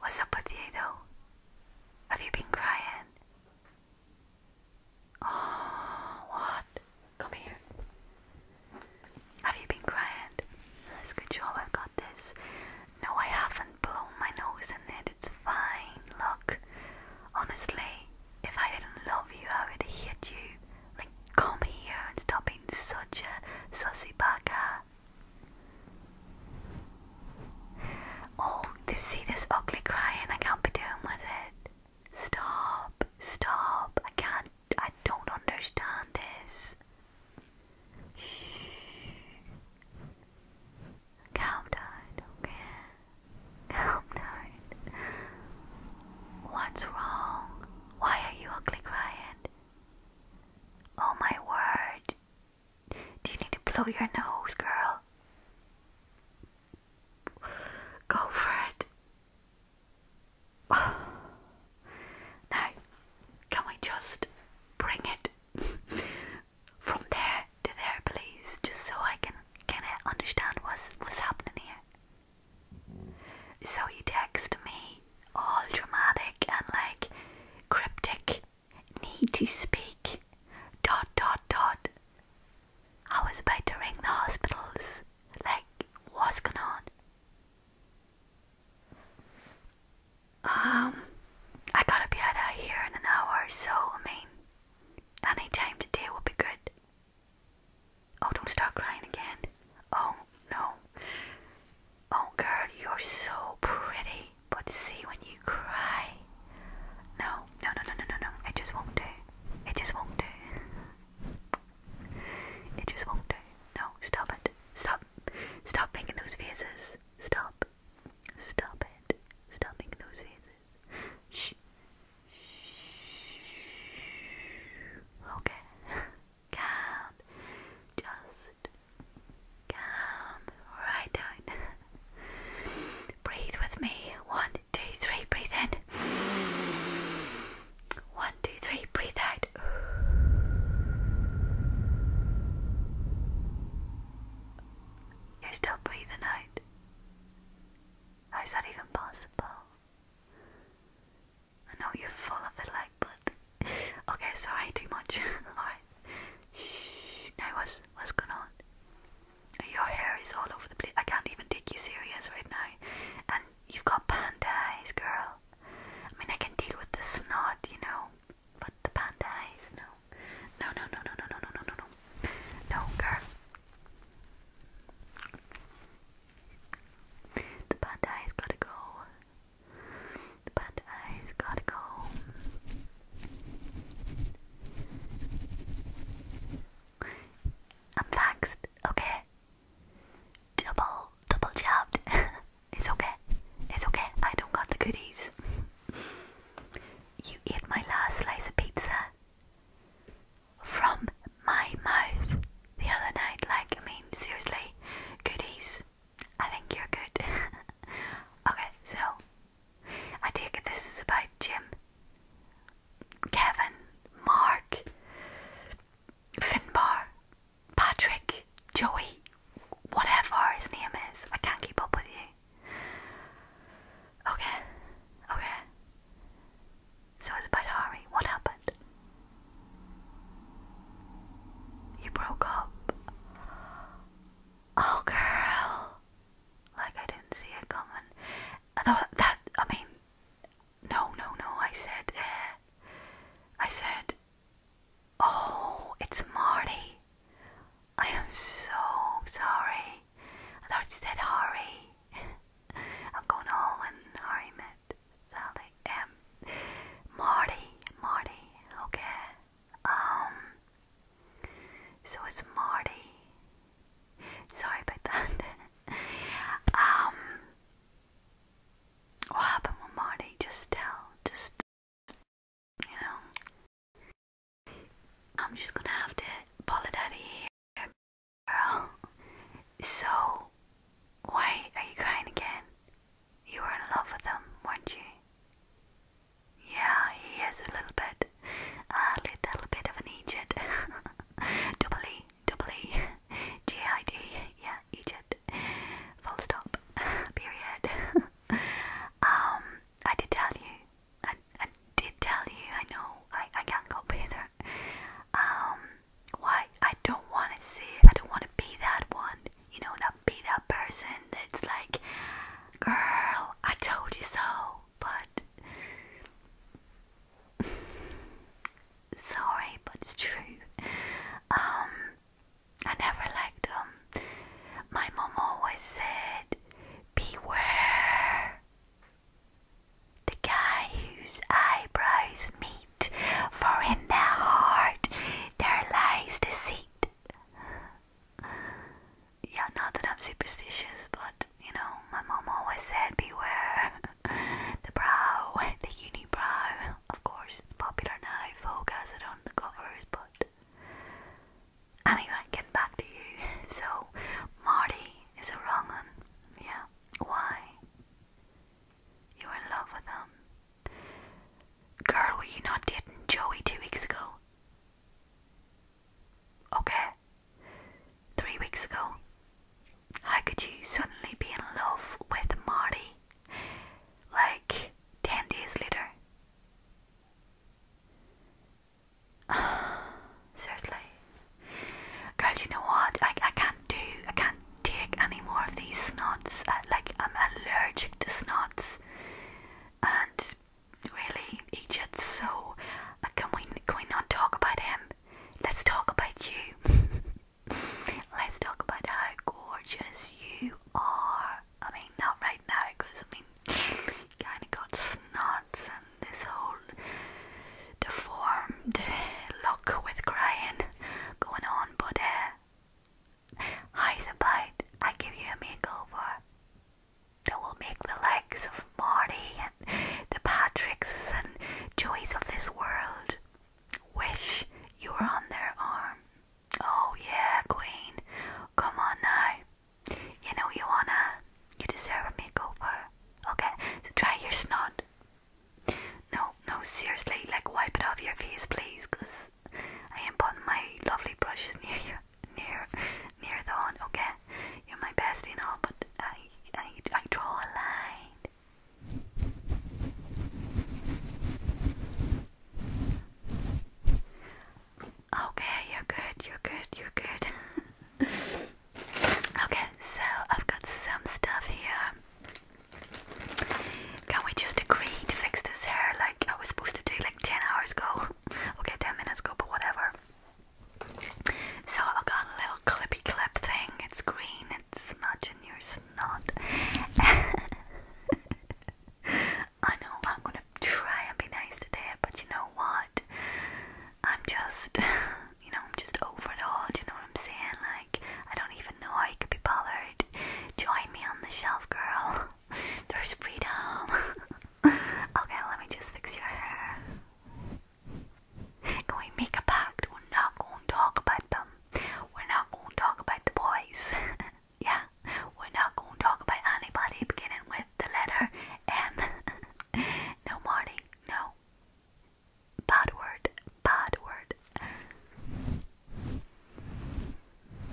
What's up with you though? Have you been crying? Oh, what? Come here. Have you been crying? That's good job, I've got this. No, I haven't blown my nose in it, it's fine. Look, honestly, if I didn't love you, I would hate you. Like, come here and stop being such a sussy baka. Oh, this, see this ugly crying? I can't be doing with it. Stop, stop. I can't, I don't understand this. Shh. Calm down, okay? Calm down. What's wrong? Why are you ugly crying? Oh my word, do you need to blow your nose, girl? Go for it. Now, can we just bring it from there to there, please, just so I can kind understand what's what's happening here? So you text me all dramatic and like cryptic. Need to speak. Dot dot dot. I was about to ring the hospitals. Like, what's going on? Um, I gotta be out of here in an hour, so I mean, any time today will be good. Oh, don't start crying again. Oh no. Oh, girl, you're so pretty, but see when you cry. No, no, no, no, no, no, no. It just won't do. It just won't do. It just won't do. No, stop it. Stop. Stop making those faces. Stop. Stop it. Stop making those faces. Shh. Shh. Okay. calm, just calm right down. breathe with me. One, two, three, breathe in. One, two, three, breathe out. You're still breathing out. How's that even possible? I know you're full of it like but okay, sorry, too much. Alright, shh. Now what's what's going on? Your hair is all over the place. I can't even take you serious right now, and you've got panda eyes, girl. I mean, I can deal with the snot, you know, but the panda eyes, no, no, no, no, no, no, no, no, no, no, no, girl. The panda eyes gotta go. But I's gotta go. I'm faxed, okay? Double, double jabbed. it's okay. It's okay. I don't got the goodies. you ate my last slice of pizza from my mouth the other night. Like, I mean, seriously, goodies. I think you're good. okay, so I take this is about Jim, Kevin, Mark, Finbar, Patrick, Joey, whatever his name is. I can't keep up with you. Okay, okay. So it's about Harry. What happened? You broke up. Oh, girl. Like, I didn't see it coming. I thought that, I mean, no, no, no. I said, uh, I said, oh, it's Marty. I am so sorry. I thought you said Harry. I'm going all in Harry met Sally, um, Marty, Marty, okay, um, so it's Marty, sorry about that, um, what happened with Marty, just tell, just, you know, I'm just gonna have to pull it out of here, girl, so, why are you crying again? You were in love with him, weren't you? Yeah, he is a little bit, a little bit of an Egypt. double E, double E, G I D, yeah, Egypt. Full stop, period. um, I did tell you, I, I did tell you, I know, I, I can't go either. Um, why? I don't want to see I don't want to be that one you know, that be that person that's like, girl, I told you so, but sorry, but it's true. Um, I never liked him. Um, my mom always said, beware the guy whose eyebrows meet for in their heart there lies deceit. Yeah, not that I'm superstitious, but you know, my mom always said, beware the brow, the unibrow. Of course, it's popular now, folk has it on the covers, anyway, getting back to you. So, Marty is a wrong one. Yeah, why? You're in love with him. Girl, were you not dating Joey two weeks ago? Okay. Three weeks ago. How could you suddenly be in love with Marty? Like ten days later. Seriously. Girl, do you know what? I I can't do I can't take any more of these snots. Uh, like, I'm allergic to snots, and really, gets So, uh, can we can we not talk about him? Let's talk about you. Let's talk about how gorgeous you are. I mean, not right now, because I mean, kind of got snots and this whole deformed look with crying going on, but uh, Eyes I give you a makeover that will make the likes of Marty and the Patricks and Joys of this world wish you were on their arm. Oh yeah, Queen, come on now. You know you wanna, you deserve a makeover. Okay, so your snot. No, no, seriously, like wipe it off your face, please, I am putting my lovely brushes near you, near, near the one. Okay, you're my best, and all, but I, I, I draw a line. Okay, you're good, you're good, you're good. okay, so I've got some stuff here. Can we just agree to fix this hair like I was supposed to do like 10 hours ago? okay, 10 minutes ago, but whatever. So I got a little clippy clip thing. It's green, it's matching yours not. I know I'm gonna try and be nice today, but you know what? I'm just, you know, I'm just over it all. you know what I'm saying? I don't even know I could be bothered. Join me on the shelf, girl. There's freedom. okay, let me just fix your hair. Can we make a pact? We're not going to talk about them. We're not going to talk about the boys. yeah, we're not going to talk about anybody beginning with the letter M. no, Marty, no. Bad word, bad word.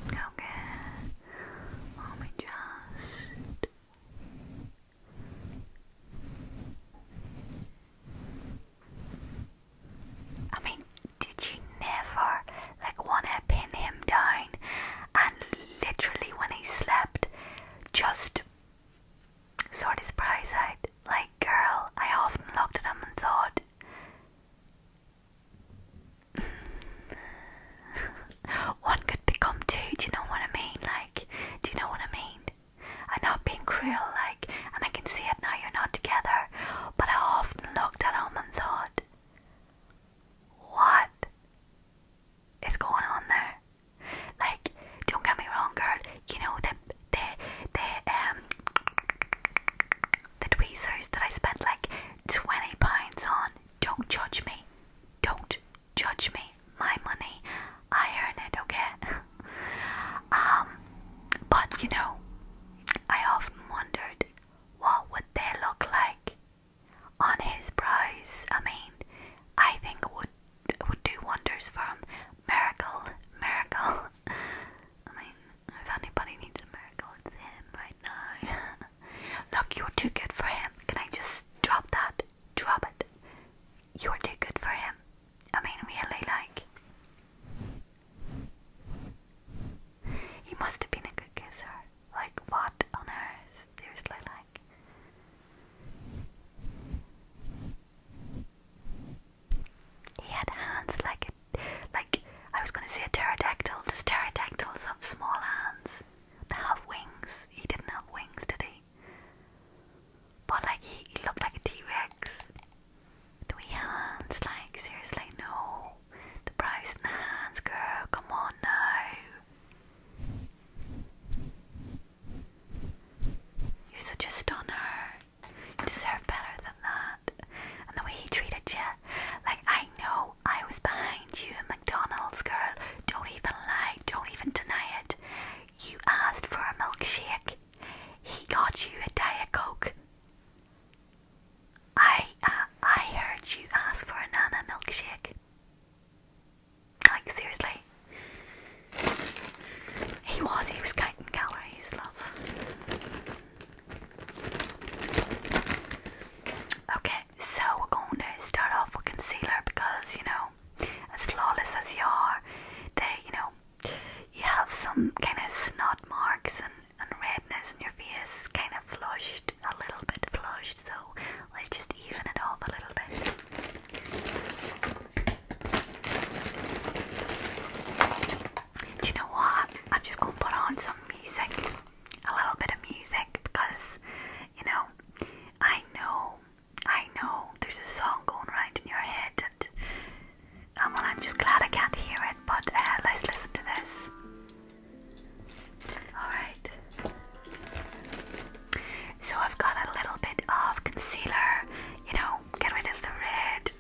Okay, let me just. I mean, did you never like wanna pin him down and literally when he slept just sort his prize out? Like, girl, I often looked at him and thought, One could become two, do you know what I mean? Like, do you know what I mean? I'm not being cruel, like, and I can see it now you're not together, but I often looked at him and thought, what is going on there? Like, don't get me wrong, girl, you know, the, the, the, um, the tweezers that I spent like 20 pounds on. Don't judge me. Don't judge me. My money. I earn it, okay? um, but you know, I often wondered what would they look like on his brows. I mean, I think it would would do wonders from Miracle, miracle. I mean, if anybody needs a miracle, it's him right now. Look, you're too good for him. Can I just drop that? Drop it. You're too good for him. I mean, really, like. He must have been a good kisser. Like, what on earth? Seriously, like. He had hands like like I was going to say a pterodactyl. Does pterodactyls have small hands? They have wings. He didn't have wings, did he? But like he, looked like a T Rex. Three hands, like seriously, no. The brows and hands, girl. Come on now. You're such a stunner. You deserve better than that. And the way he treated you, like I know I was behind you in McDonald's, girl. Don't even lie. Don't even deny it. You asked for a milkshake. He got you a diet coke. I uh, I heard you ask for a nana milkshake. Like seriously, he was he was counting calories, love. Okay, so we're going to start off with concealer because you know, as flawless as you are, they you know, you have some kind of snot marks and, and redness in your face, kind of flushed, a little bit flushed. So let's just even it off a little bit. Do you know what? I'm just gonna put on some music, a little bit of music, because you know, I know, I know there's a song going right in your head, um, and I'm just glad I can't hear it. But uh, let's listen to this. All right. So I've got a little bit of concealer, you know, get rid of the red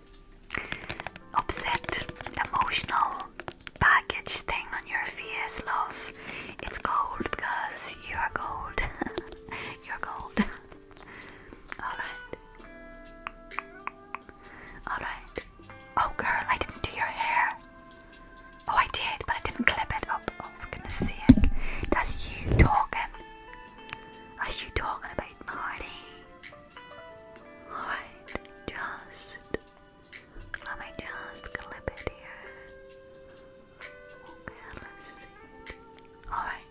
upset, emotional baggage thing on your face, love. It's cold because you are gold. You're gold. Alright. Alright. Oh, girl, I didn't do your hair. Oh, I did, but I didn't clip it up. Oh, goodness sake. That's you talking. That's you talking about Marty. Alright, just let me just clip it here. Okay, let's see. Alright,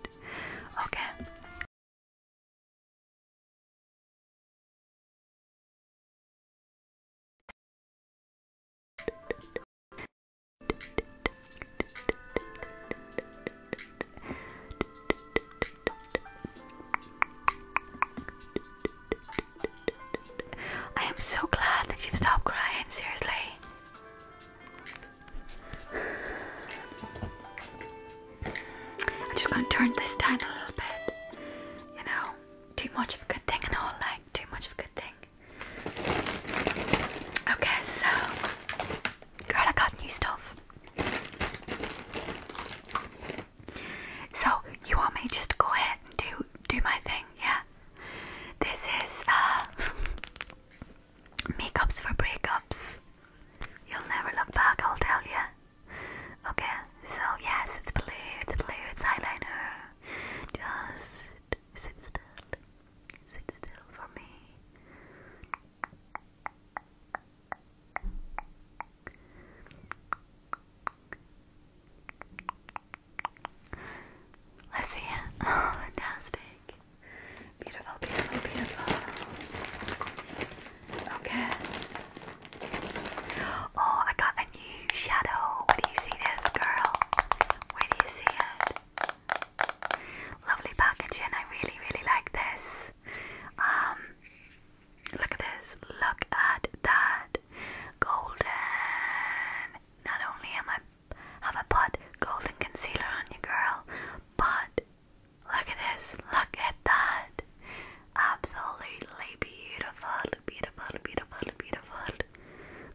okay. I am so glad that you've stopped crying, seriously. I'm just gonna turn this down a little bit. You know, too much of a good thing and all like too much of a good thing. Okay, so Girl, I got new stuff. So you want me just to go ahead and do do my thing, yeah? This is uh makeups for breakups. You'll never look back, I'll tell you. Okay, so yes, it's blue, it's blue, it's eyeliner. Just sit still. Sit still for me. Let's see fantastic. Beautiful, beautiful, beautiful. Okay. Oh, I got a new shadow. Where do you see this, girl? Where do you see Lovely packaging. I really, really like this. Um, Look at this. Look at that. Golden. Not only am I have I put golden concealer on you, girl, but look at this. Look at that. Absolutely beautiful, beautiful, beautiful, beautiful.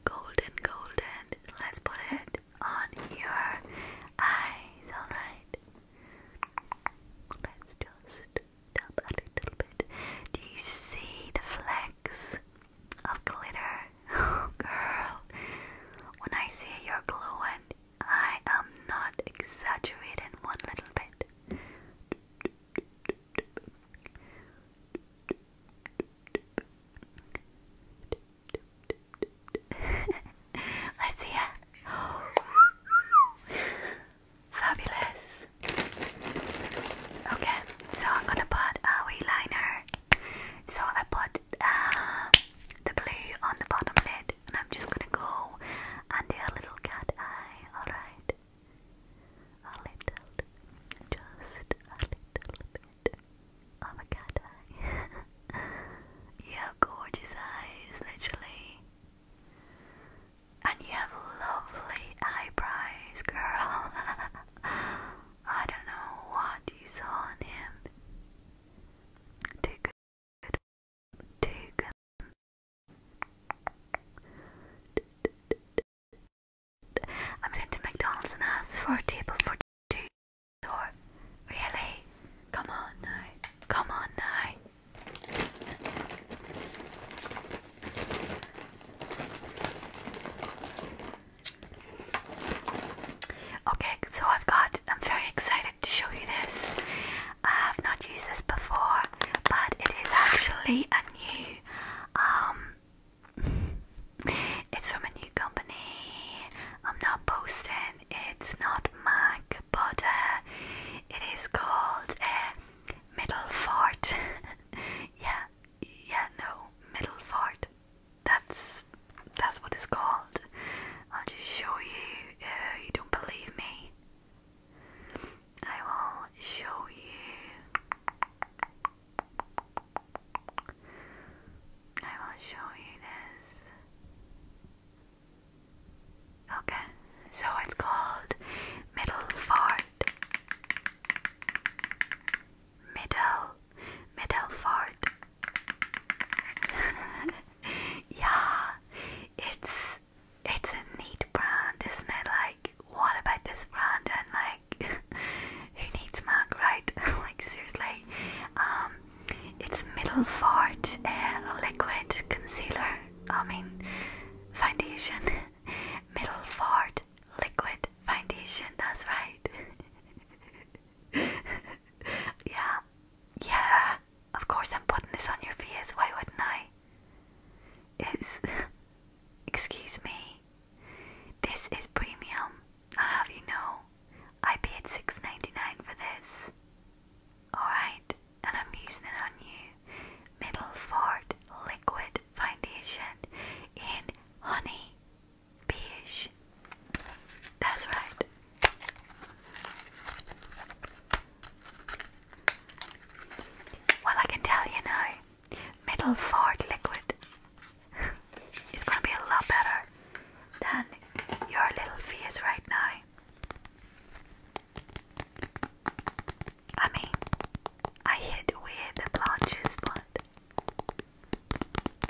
Golden, golden. Let's put it on your eyes. All right. Let's just tap a little bit. Do you see the flecks of glitter? Oh, girl, when I see you're glowing, I am not exaggerating one little bit. Let's see it. Fabulous. Okay, so I'm gonna put a wee liner. So I put uh, the blue on the bottom lid, and I'm just gonna go and do a little cat eye. All right, a little, just a little bit of a cat eye. yeah, gorgeous eyes, literally. And you have lovely eyebrows, girl. I don't know what you saw in him. Too good. Too good. I'm sent to McDonald's and asked for a table for two. really? Come on now. Come on now. Okay, so I've got, I'm very excited to show you this. I have not used this before, but it is actually a new, um, it's from a new company. I'm not posting it's not Mac, but uh, it is called uh, Middle Fort. yeah, yeah, no, Middle Fort. That's that's what it's called. I'll just show you. Uh, you don't believe me? I will show you. I will show you this. Okay, so it's called Middle Middleford. Middle, Middleford. yeah, it's it's a neat brand, isn't it? Like, what about this brand? And like, who needs mug, right? like seriously, um, it's middle uh, liquid concealer. I mean, foundation. Middle Middelfart liquid foundation. That's right. yeah, yeah. Of course, I'm putting this on your face. Why wouldn't I? It's. Excuse me. This is premium. I have you know. I paid six ninety nine for this. Alright and I'm using it on you. Middleford Liquid Foundation in Honey Beige. That's right. Well, I can tell you now, Middleford Liquid is going to be a lot better than your little face right now. I mean, I hit with the blotches, but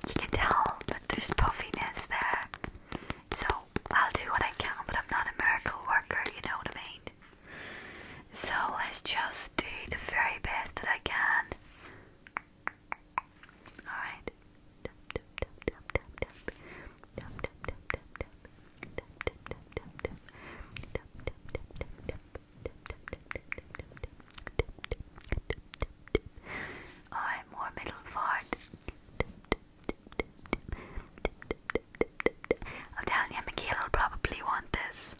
you can tell that there's puffiness there. So I'll do what I can, but I'm not a miracle worker, you know what I mean? So let's just do the very best that I can. Alright. Alright, more middle fart. I'm telling you, Miguel probably want this.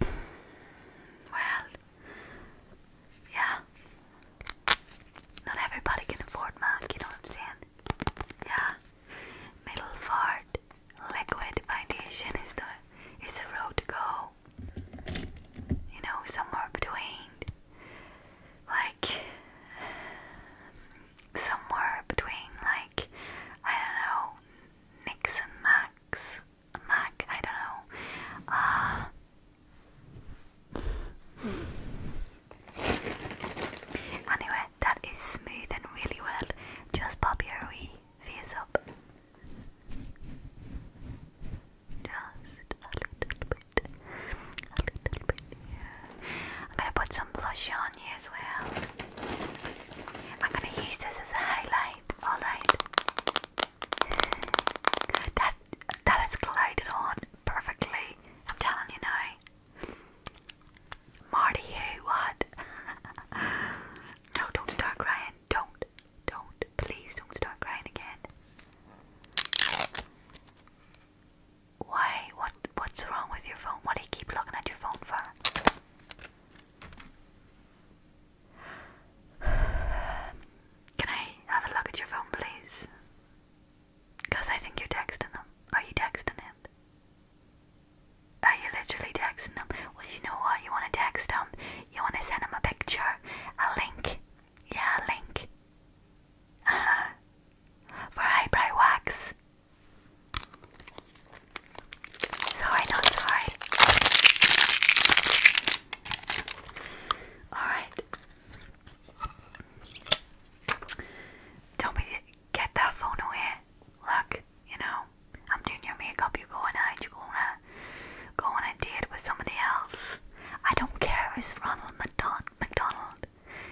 Well, yeah. Not everybody can afford milk, you know what I'm saying? Yeah. Middleford Liquid Foundation is the is the road to go. You know, somewhere between like somewhere between like I don't know Nixon Max Mac I don't know uh Anyway, that is smooth and really well. Just pop your wee face up. Just a little bit. A little bit. Yeah. I'm gonna put some blush on you as well. I'm gonna use this as a highlight, alright? That that glided on perfectly. I'm telling you now. Marty, who? What? no, don't start crying. Don't. Don't. Please don't start crying again. Why? What? What's wrong with your phone? Why do you keep looking at your phone for? Can I have a look at your phone, please? Because I think you're texting him. Are you texting him? Are you literally texting him? Well, you know what? You want to text him. You want to send him a picture, a link. Yeah, a link. Uh-huh. For eyebrow wax. Sorry, not sorry. Alright. Don't be get that phone away. Look, you know, I'm doing your makeup, you going out, you going to go on date with somebody else. I don't care if it's Ronald McDonald.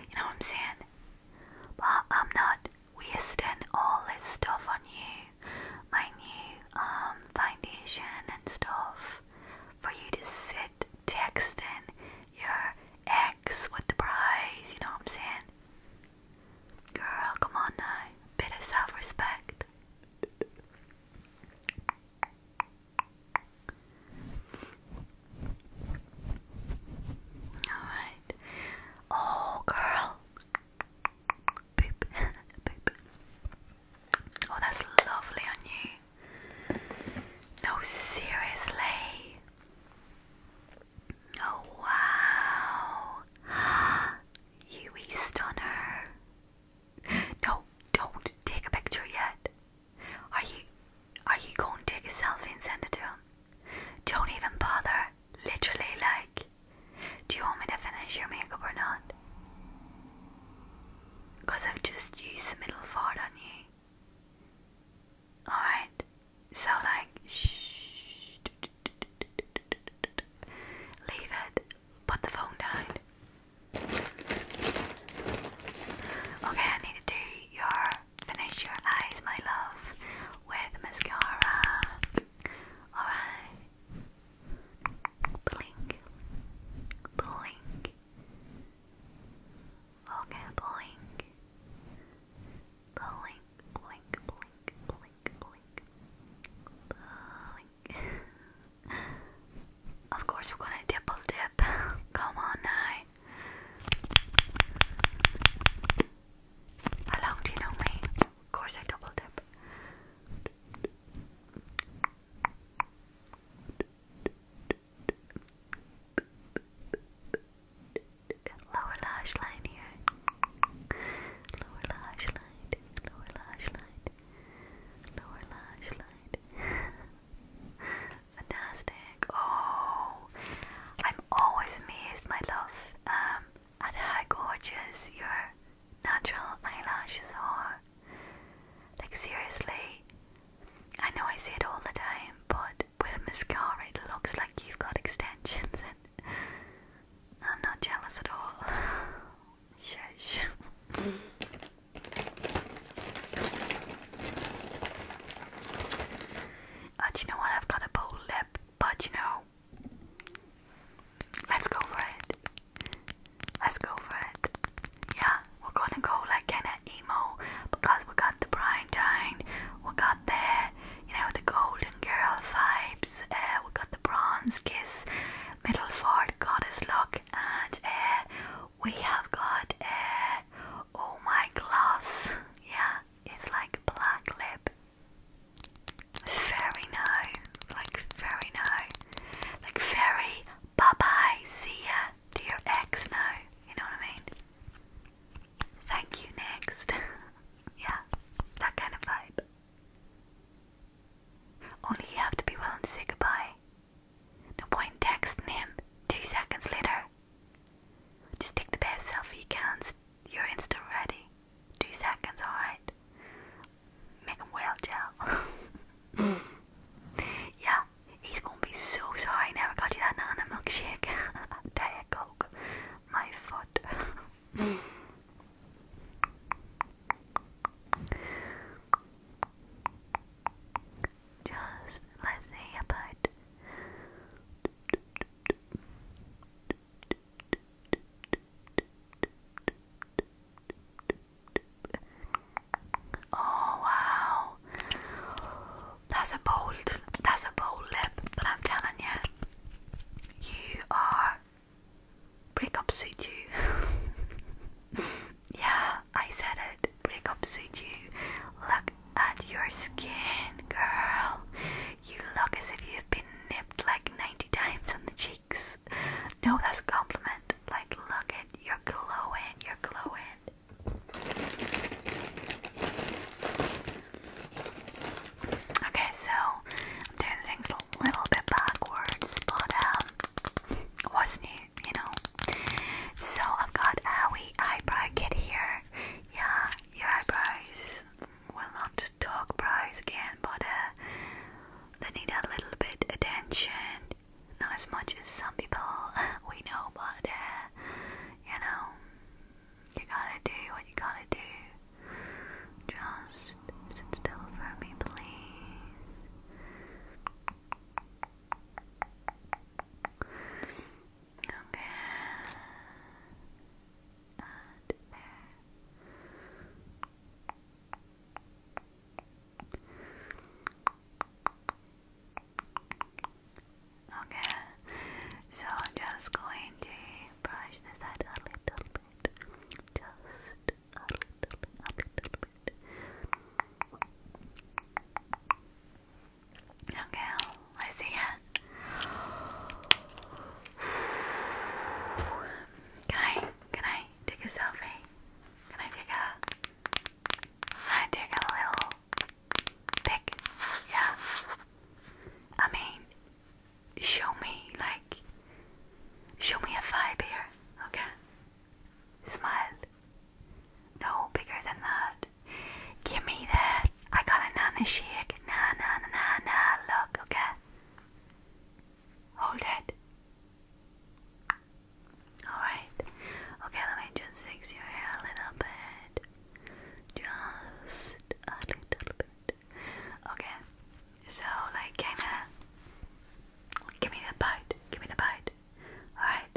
You know what I'm saying? But I'm not wasting all this stuff on you. My new um, foundation and stuff for you to sit texting your ex with the prize, you know what I'm saying? Girl, come on now. Bit of self respect. Alright. Oh, girl. Oh, that's lovely on you. No, seriously. Oh, wow. Yui Stunner. No, don't take a picture yet. Are you are you going to take a selfie and send it to him? Don't even bother. Literally, like, do you want me to finish your makeup or not? Because I've just used the middle fart on you. Alright, so like, shh, leave it, put the phone down. Okay, I need to do your, finish your eyes, my love, with mascara. Alright, blink, blink. Okay, blink. Blink, blink, blink, blink, blink. Blink. of course, we're gonna double dip. Come on now. How long do you know me? Of course, I double dip. Lower lash line here. Lower lash line. Lower lash line. Lower lash line. Fantastic. Oh, I'm always amazed, my love, um, at how gorgeous your natural eyelashes are. Like seriously, I know I say it all the time, but with mascara it looks like you've got extensions and I'm not jealous at all. Shush. Oh, you know what? I've got a bold lip, but you know, let's go for it. Let's go for it. Yeah, we're gonna go like kinda emo because we got the prime time, we got the you know the golden girl vibes, uh, we got the bronze kiss, middleford goddess look, and uh, we have got uh, oh my gloss, yeah, it's like black lip. fairy nice, like fairy nice, like very bye bye, see ya do your ex now, you know what I mean? Thank you next. yeah, that kind of vibe. Only you have to be willing to say goodbye. No point texting him two seconds later. Just take the best selfie you can. You're instant ready. Two seconds, alright? Make him well gel. Yeah, he's gonna be so sorry Never got you that banana milkshake. Diet Coke. My foot. Just let's see about. Oh wow. That's a bold that's a bold lip, but I'm telling you, you are breakup suit you. yeah, I said it. Breakup suit you. Look at your skin, girl. You look as if you've been nipped like 90 times on the cheeks. No, that's a compliment. Like, look at you're glowing, you're glowing. Okay, so I'm doing things a little bit backwards, but um, what's new, you know? So I've got a wee eyebrow kit here. Yeah, your eyebrows will not talk brows again, but uh, they need a little bit attention not as much as some people we know, but uh, you know, you gotta do what you gotta do. Just sit still for me, please. Okay. Okay, so I'm just going to brush this out a little bit, Okay, let see it. Can I, can I take a selfie? Can I take a, I took a little pic, yeah. I mean, show me, like, show me a vibe here, okay? Smile. No, bigger than that. Give me that. I got a nana shake. Na na na Look, okay? Hold it. Alright. Okay, let me just fix your hair a little bit. Just a little bit. Okay. So like kinda give me the bite. Give me the bite. Alright.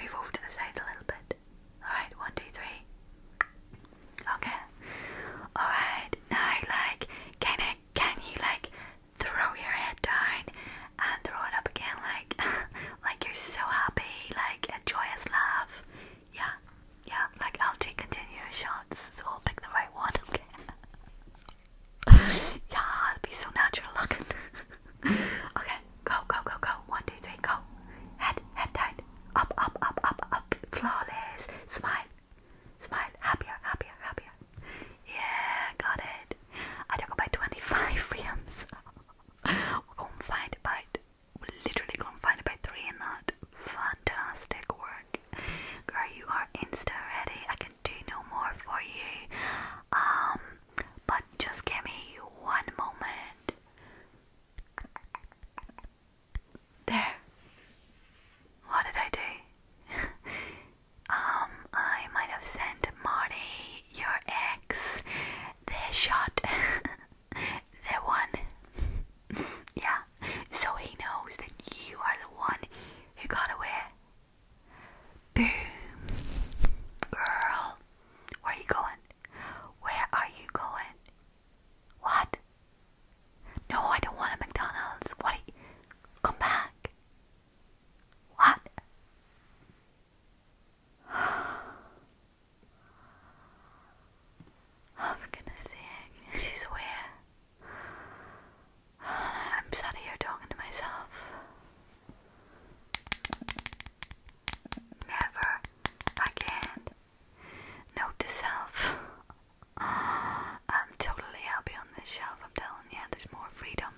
Move over to the side a little bit. Alright, one, two, three. Okay. Alright, now like kinda can you like throw your head down and throw it up again like like you're so happy, like a joyous laugh. Yeah, yeah, like I'll take continuous shots, so I'll pick the right one, okay? yeah, it'll be so natural looking. okay, go, go, go, go. One, two, three, go. Head, head tight. Up, up, up, up, up. Flawless. Smile. Smile. Happier, happier, happier. Yeah, got it. I don't go by 25 frames. We're going to find about, we're literally going to find about three in that. Fantastic work. Girl, you are insta ready. I can do no more for you. Um, but just give me one moment. There. What did I do? Um, I might have sent Marty, your ex, the shot. the one. yeah, so he knows that you are the one who got away. Boom. Girl, where are you going? Where are you going? What? No, I don't want a McDonald's. What? Come back. What? Oh, for goodness sake, she's aware. I'm sat here talking to myself. Never again. Note to self. I'm totally happy on this shelf, I'm telling you, there's more freedom.